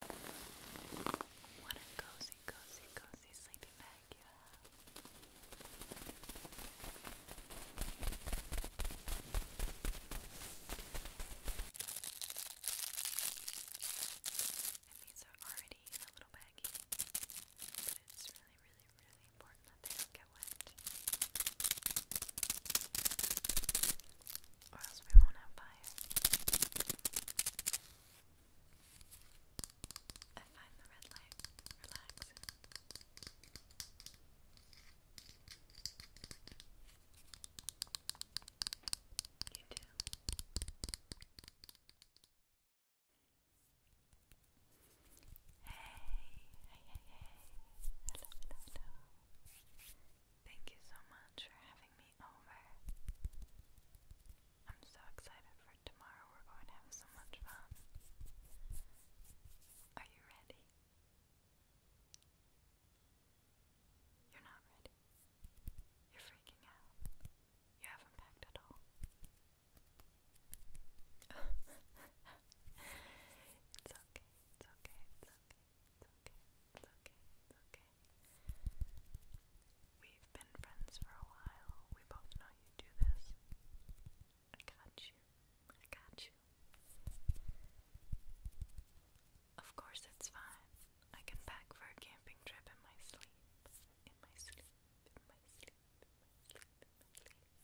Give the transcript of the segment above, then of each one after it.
What a cozy, cozy, cozy sleeping bag you have. And these are already in a little baggie, but it's really, really, really important that they don't get wet or else we won't have fire. I find the red light relaxing. You do. Hey, hey, hey, hello, hello. Thank you so much for having me over. I'm so excited for tomorrow. We're going to have so much fun. Are you ready? You're not ready. You're freaking out. You haven't packed at all. it's okay, it's okay, it's okay. It's okay, it's okay, it's okay. We've been friends for a while. We both know you do this. I got you. I got you. Of course, it's fine. I can pack for a camping trip in my sleep. In my sleep, in my sleep, in my sleep, in my sleep.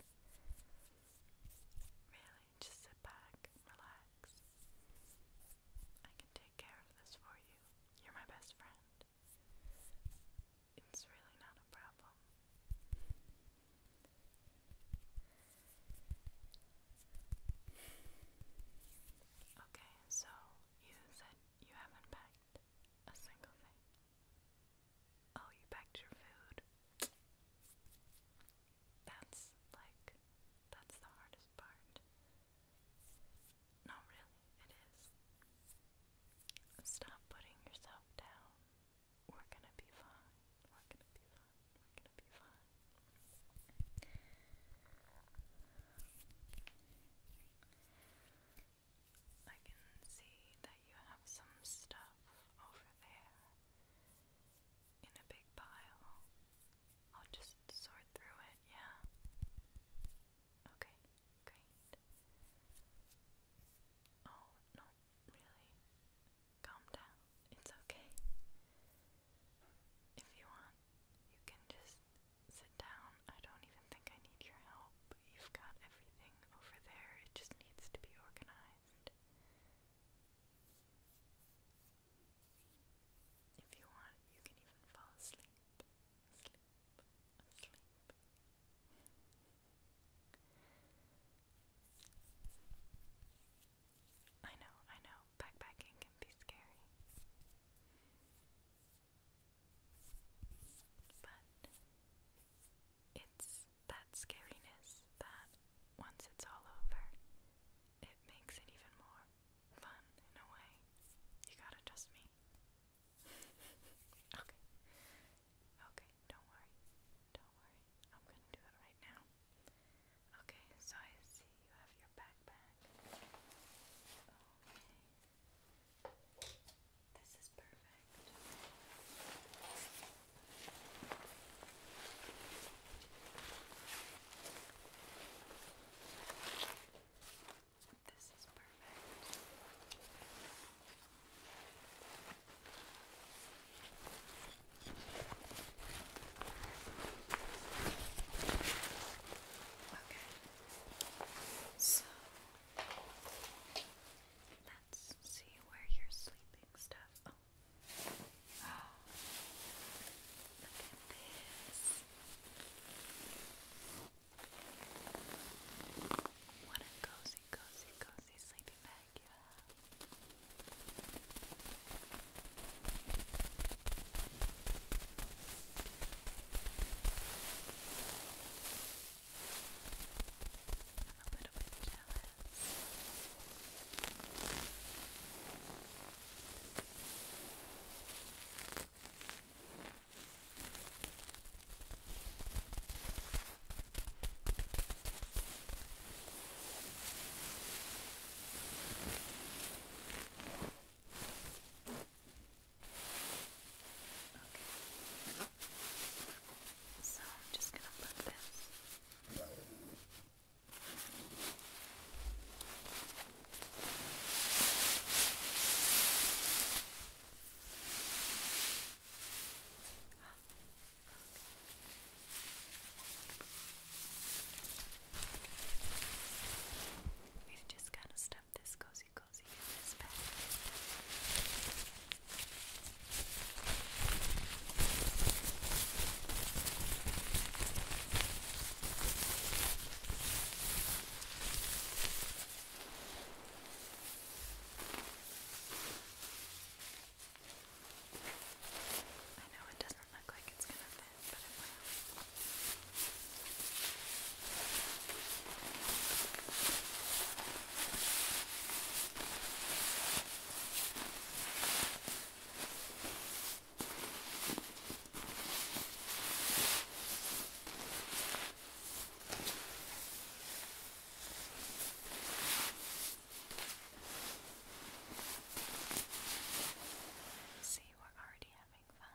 Really, just sit back, relax. I can take care of this for you. You're my best friend. It's really not a problem. Okay, so you said you haven't packed a single thing. Oh, you packed your food. That's like, that's the hardest part. No, really, it is. Stop putting yourself down. We're gonna be fine. We're gonna be fine. We're gonna be fine. I can see that you have some stuff over there in a big pile. I'll just sort through it, yeah. Okay, great. Oh, no, really. Calm down. It's okay. If you want, you can just sit down. I don't even think I need your help. You've got everything over there. It just needs to be organized. If you want, you can even fall asleep. I know, I know, backpacking can be scary. But it's that scariness that once it's all over, it makes it even more fun in a way. You gotta trust me. okay. Okay, don't worry. Don't worry. I'm gonna do it right now. Okay, so I see you have your backpack. Okay. This is perfect. This is perfect. Okay. So let's see where your sleeping stuff. Oh, Oh, look at this. What a cozy, cozy, cozy sleeping bag you have. I'm a little bit jealous. Okay. So I'm just going to put this We've just kind of stuffed this cozy cozy in this bag. I know it doesn't look like it's going to fit, but it will. Okay, See, we're already having fun.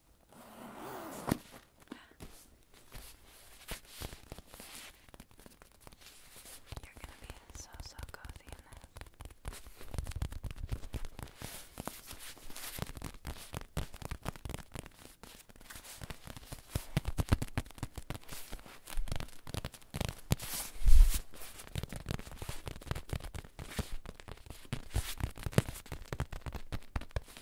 You're gonna be so so cozy in this. All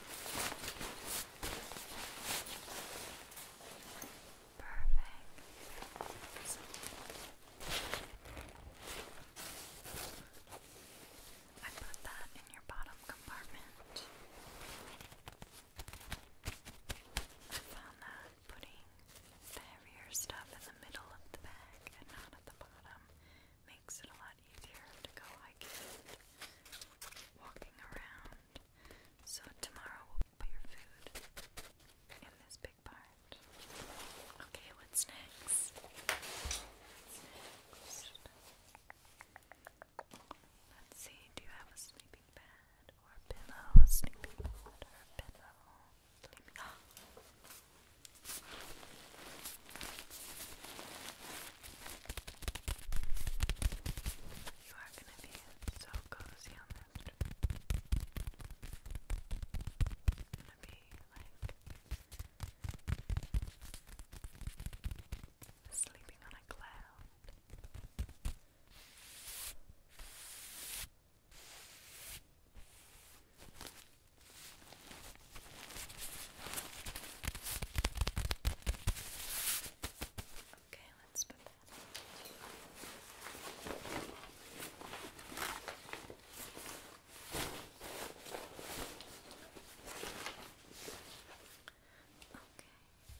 I put that in your bottom compartment. I found that putting the heavier stuff in the middle of the bag and not at the bottom makes it a lot easier to go hiking, walking around. So tomorrow we'll put your food in this big part. Okay, what's next? Let's see, do you have a sleeping bed or a pillow? A sleeping bed or a pillow? Sleeping. You are going to be so cozy on this trip. It's going to be like sleeping on a cloud. Okay, let's put that. Okay.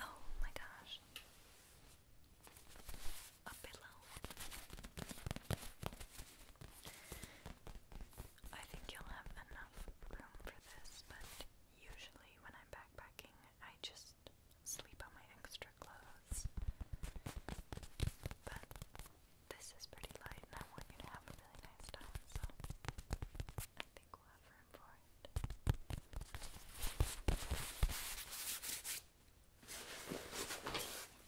Oh my gosh. A pillow. I think you'll have enough room for this, but usually when I'm backpacking, I just sleep on my extra clothes. But this is pretty light, and I want you to have a really nice time, so I think we'll have room for it.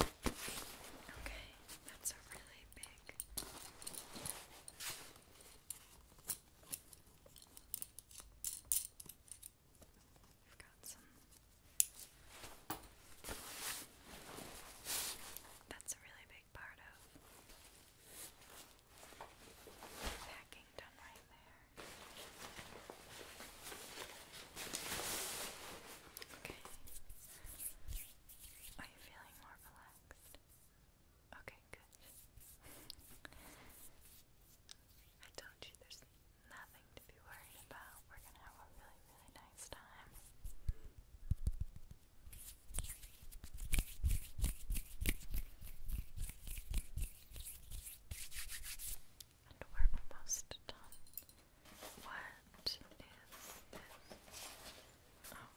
Okay, that's a really big. We've got some. That's a really big part of packing done right there. Okay, are you feeling more relaxed? Okay, good. I told you there's nothing to be worried about. We're gonna have a really, really nice time. And we're almost done. What is this? Oh.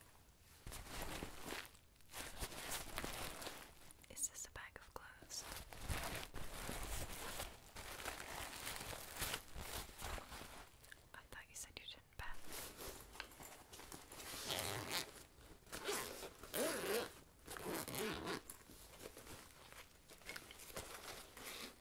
Is this a bag of clothes? I thought you said you didn't bet.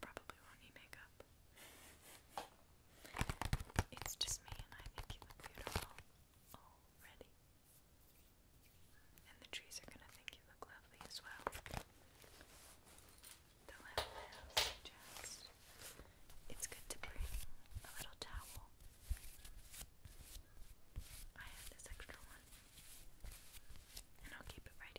probably won't need makeup. It's just me, and I think you look beautiful already. And the trees are gonna think you look lovely as well. The lavender suggests it's good to bring a little towel. I have this extra one, and I'll keep it right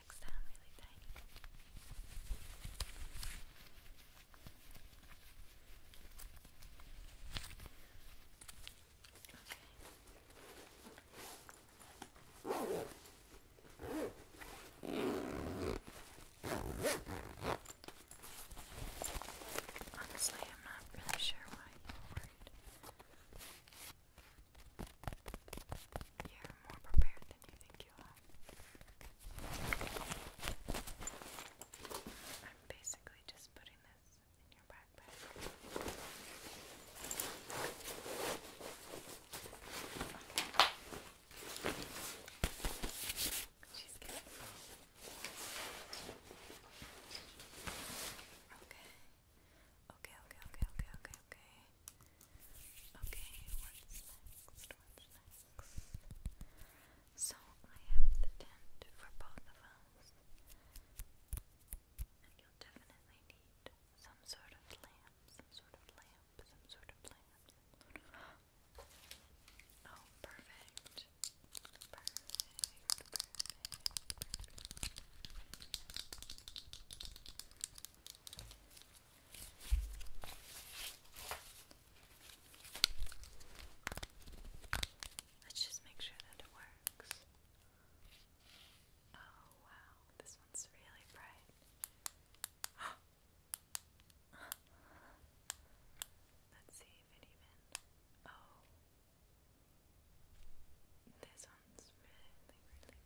legs Honestly, I'm not really sure why you're worried. You're more prepared than you think you are. I'm basically just putting this in your backpack. Okay. okay, okay, okay, okay okay. Okay, what's next? What's next? So I have the tent for both of us. And you'll definitely need some sort of lamp, some sort of lamp, some sort of lamp. Oh, Perfect, perfect, perfect. Let's just make sure that it works. Oh wow, this one's really bright. Let's see if it even. Oh. This one's really, really good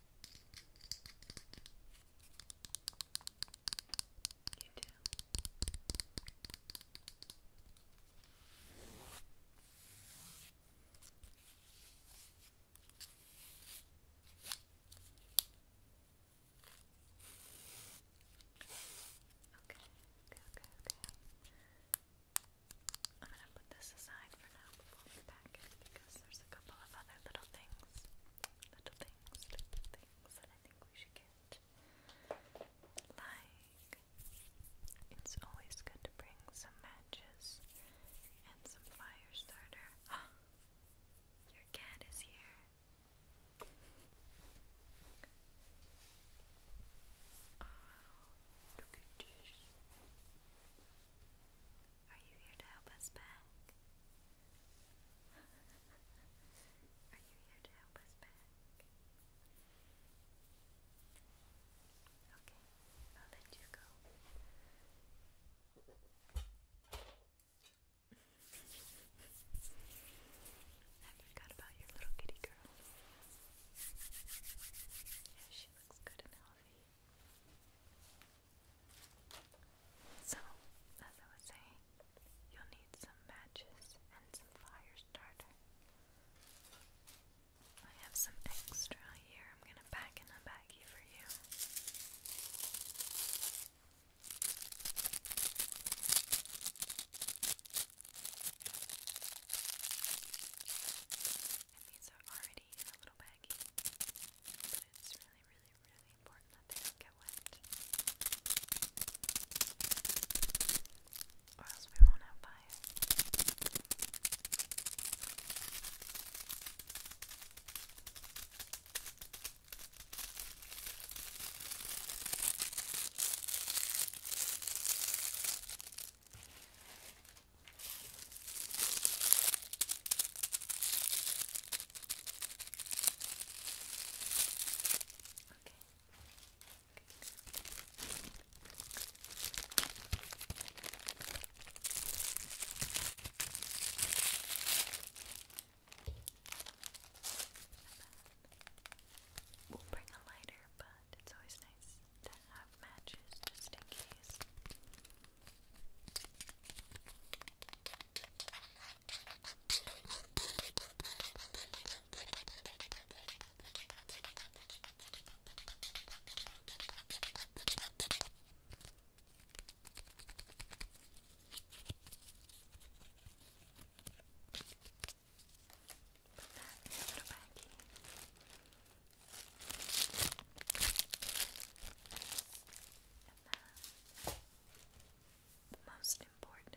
You Okay, okay, okay, okay. I'm gonna put this aside for now before we pack it because there's a couple of other little things, little things, little things that I think we should get. Like, it's always good to bring some matches and some fire starter. your cat is here. Oh, look at this. Are you here to help us back? Are you here to help us back? Okay, I'll let you go. I forgot about your little kitty girl. Yeah, she looks good and healthy. So, as I was saying, you'll need some matches and some fire starter. I have some extra here. I'm gonna pack in a baggie for you. And these are already in a little bag baggy. But it's really, really, really important that they don't get wet. Or else we won't have fire. We'll bring a lighter, but it's always nice to have matches just in case. Put that in the baggie then the most important,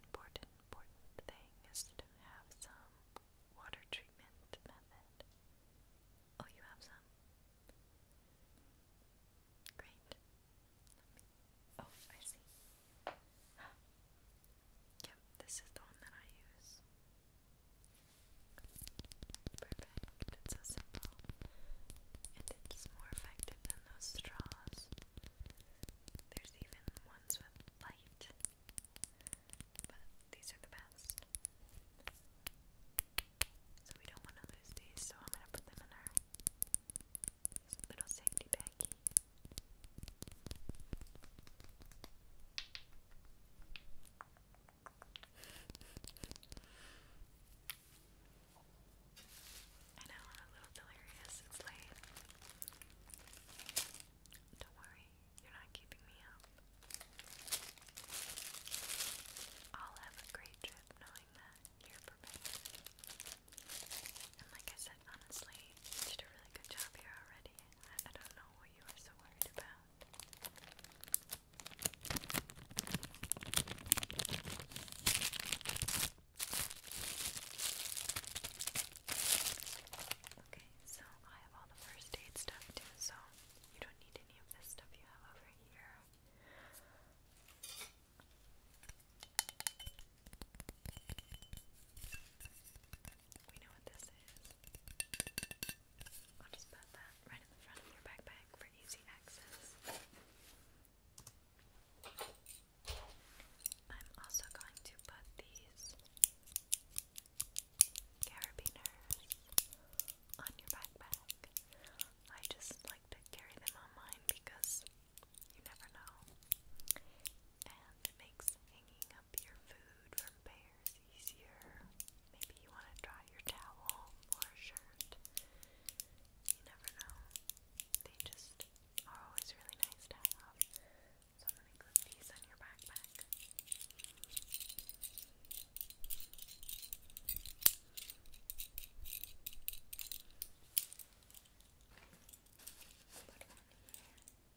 important, important thing is to have some water treatment method. Oh, you have some? Great. Oh, I see. Yep, this is the one that I use. Perfect. It's so simple. And it's more effective than those straws. There's even ones with light. But these are the best. So we don't want to lose these, so I'm going to put them in our little safety baggie. I know, I'm a little delirious. It's late. Don't worry, you're not keeping me up. I'll have a great trip knowing that you're prepared. And like I said, honestly, you did a really good job here already. I, don't know what you were so worried about. Okay, so I have all the first aid stuff too, so you don't need any of this stuff you have over here. We know what this is. I'll just put that right in the front of your backpack for easy access. I'm also going to put these carabiners on your backpack. I just like to carry them on mine because you never know. And it makes hanging up your food from bear is easier. Maybe you want to dry your towel or a shirt. You never know. They just are always really nice to have. So I'm gonna glue these on your backpack. Put one here.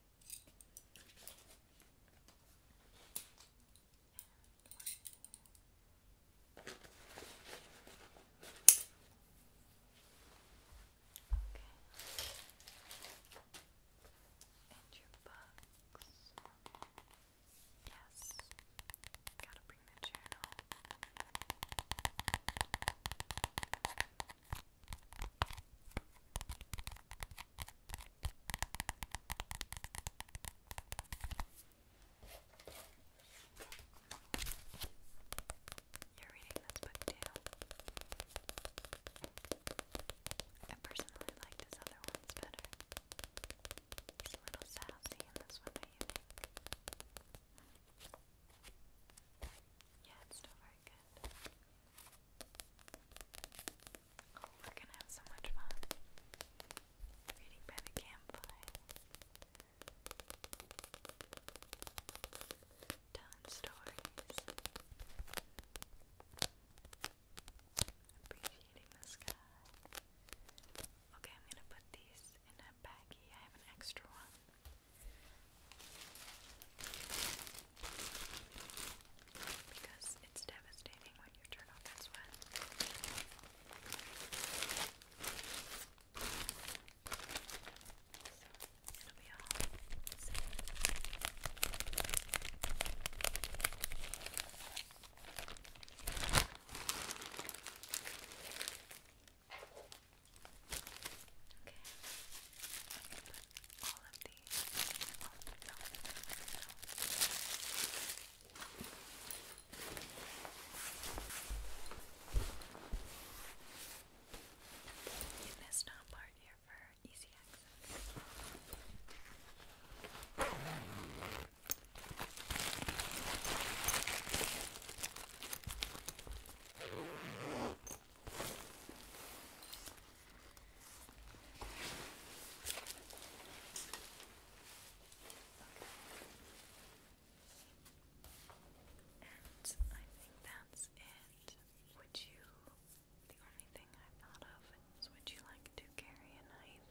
And your books. Yes. Gotta bring the journal. You're reading this book too. I personally like his other ones better. He's a little sassy in this one, do you think? Yeah, it's still very good. Oh, we're gonna have so much fun reading by the campfire. Telling stories. Appreciating the sky. Okay, I'm gonna put these in a baggie. I have an extra one. Because it's devastating when you turn off that So it'll be all set. Okay. put all of the You missed on part here for easy access. And I think that's it. Would you, the only thing I thought of is would you like to carry a knife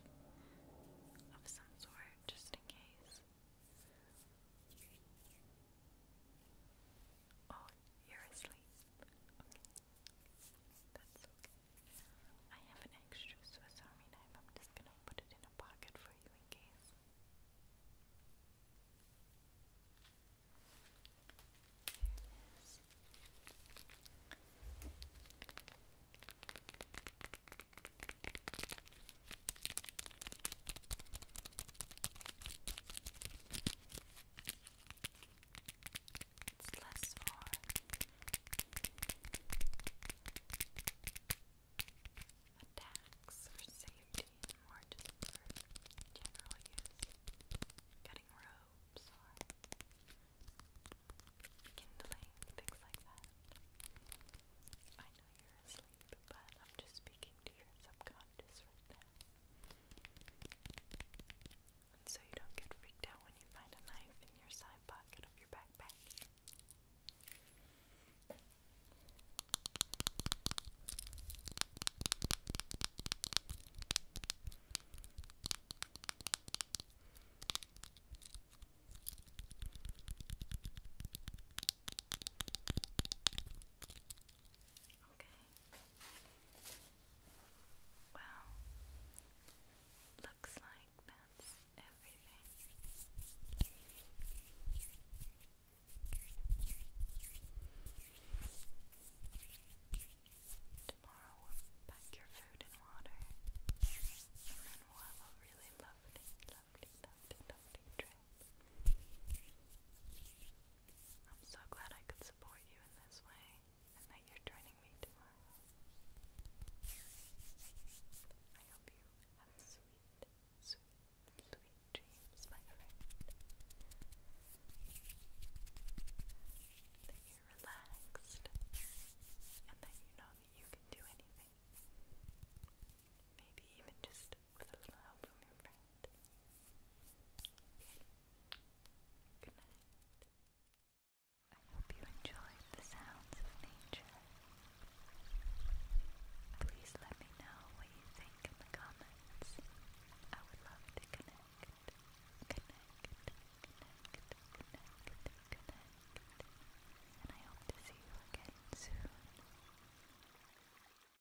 of some sort just in case? Oh, you're asleep. That's okay. I have an extra Swiss Army knife. I'm just gonna put it in a pocket for you in case. Here it is. It's less for attacks for safety more just for general use. Cutting robes or kindling, things like that. I know you're asleep, but I'm just speaking to your subconscious. And so you don't get freaked out when you find a knife in your side pocket of your backpack. Okay. Well, looks like that's everything. Tomorrow pack your food and water, and then we a really lovely, lovely, lovely, lovely trip. I'm so glad I could support you in this way and that you're joining me tomorrow. I hope you have sweet, sweet, sweet dreams, my friend. That you're relaxed and that you know that you can do anything. Maybe even just with I hope you enjoyed the sounds of nature. Please let me know what you think in the comments. I would love to connect. Connect, connect, connect, connect. And I hope to see you again soon.